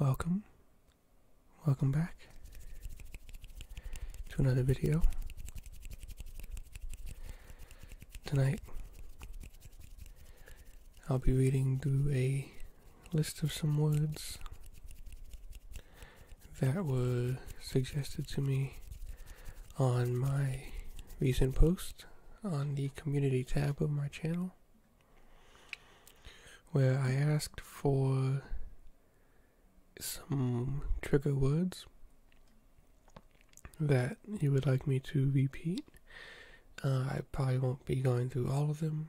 Welcome, welcome back to another video. Tonight, I'll be reading through a list of some words that was suggested to me on my recent post on the community tab of my channel where I asked for some trigger words that you would like me to repeat. Uh, I probably won't be going through all of them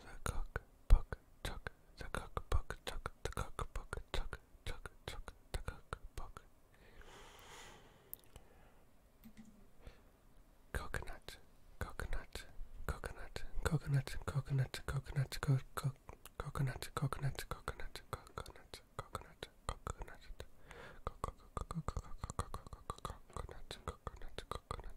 The cock, buck, chuck, the cock, buck, chuck, the cock, buck, chuck, chuck, chuck, the cock, buck. Coconut, coconut, coconut, coconut, coconut, coconut, co co coconut, coconut, coconut, coconut, coconut, coconut, coconut, coconut, coconut,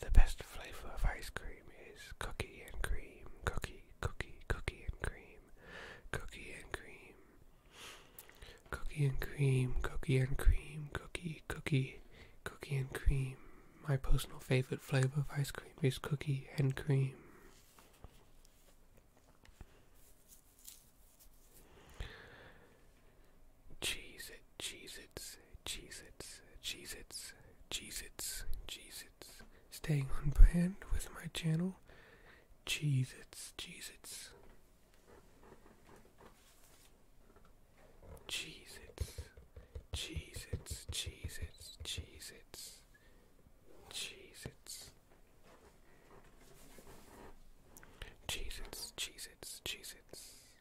The best flavor of ice cream is cookie and cream, cookie, cookie, cookie and cream, cookie and cream, cookie and cream, cookie and cream, cookie, cookie, cookie and cream. My personal favorite flavor of ice cream is cookie and cream. Cheese it, cheese it. Cheez Its, Cheez Its, Cheez Its, Cheez Its. Staying on brand with my channel, Cheez Its, Cheez Its. Cheez Its, Cheez Its, Cheez Its, Cheez Its, Cheez Its. Cheez Its, Cheez Its, Cheez Its.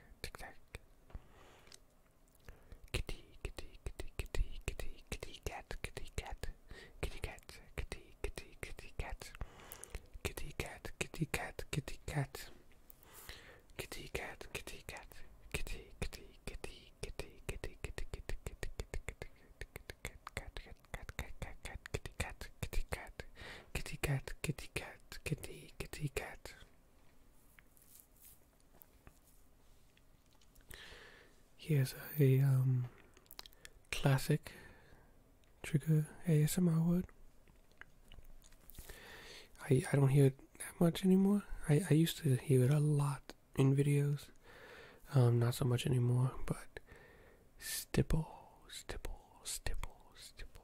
Kitty, kitty, kitty, kitty, kitty, kitty cat, kitty cat, kitty cat, kitty, kitty, kitty cat, kitty cat, kitty cat, kitty cat, kitty cat, kitty cat. kitty, kitty cat. Here's a um, classic trigger ASMR word. I I don't hear it that much anymore. I I used to hear it a lot in videos. Um, not so much anymore, but stipple, stipple, stipple, stipple.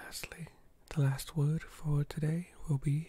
Lastly, the last word for today will be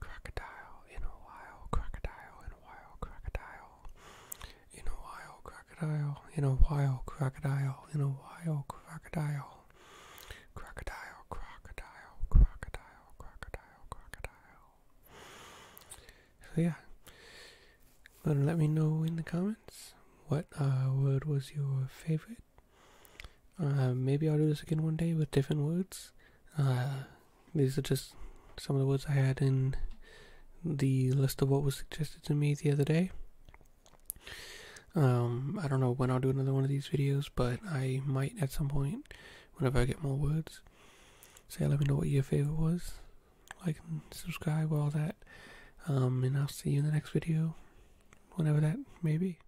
Crocodile in a while, crocodile in a while, crocodile in a while, crocodile in a while, crocodile in a while, crocodile, crocodile, crocodile, crocodile, crocodile, crocodile. So yeah, let me know in the comments what uh, word was your favorite. Uh, maybe I'll do this again one day with different words. Uh, these are just some of the words I had in the list of what was suggested to me the other day. Um, I don't know when I'll do another one of these videos, but I might at some point, whenever I get more words. Say, let me know what your favorite was. Like, subscribe, all that. Um, and I'll see you in the next video, whenever that may be.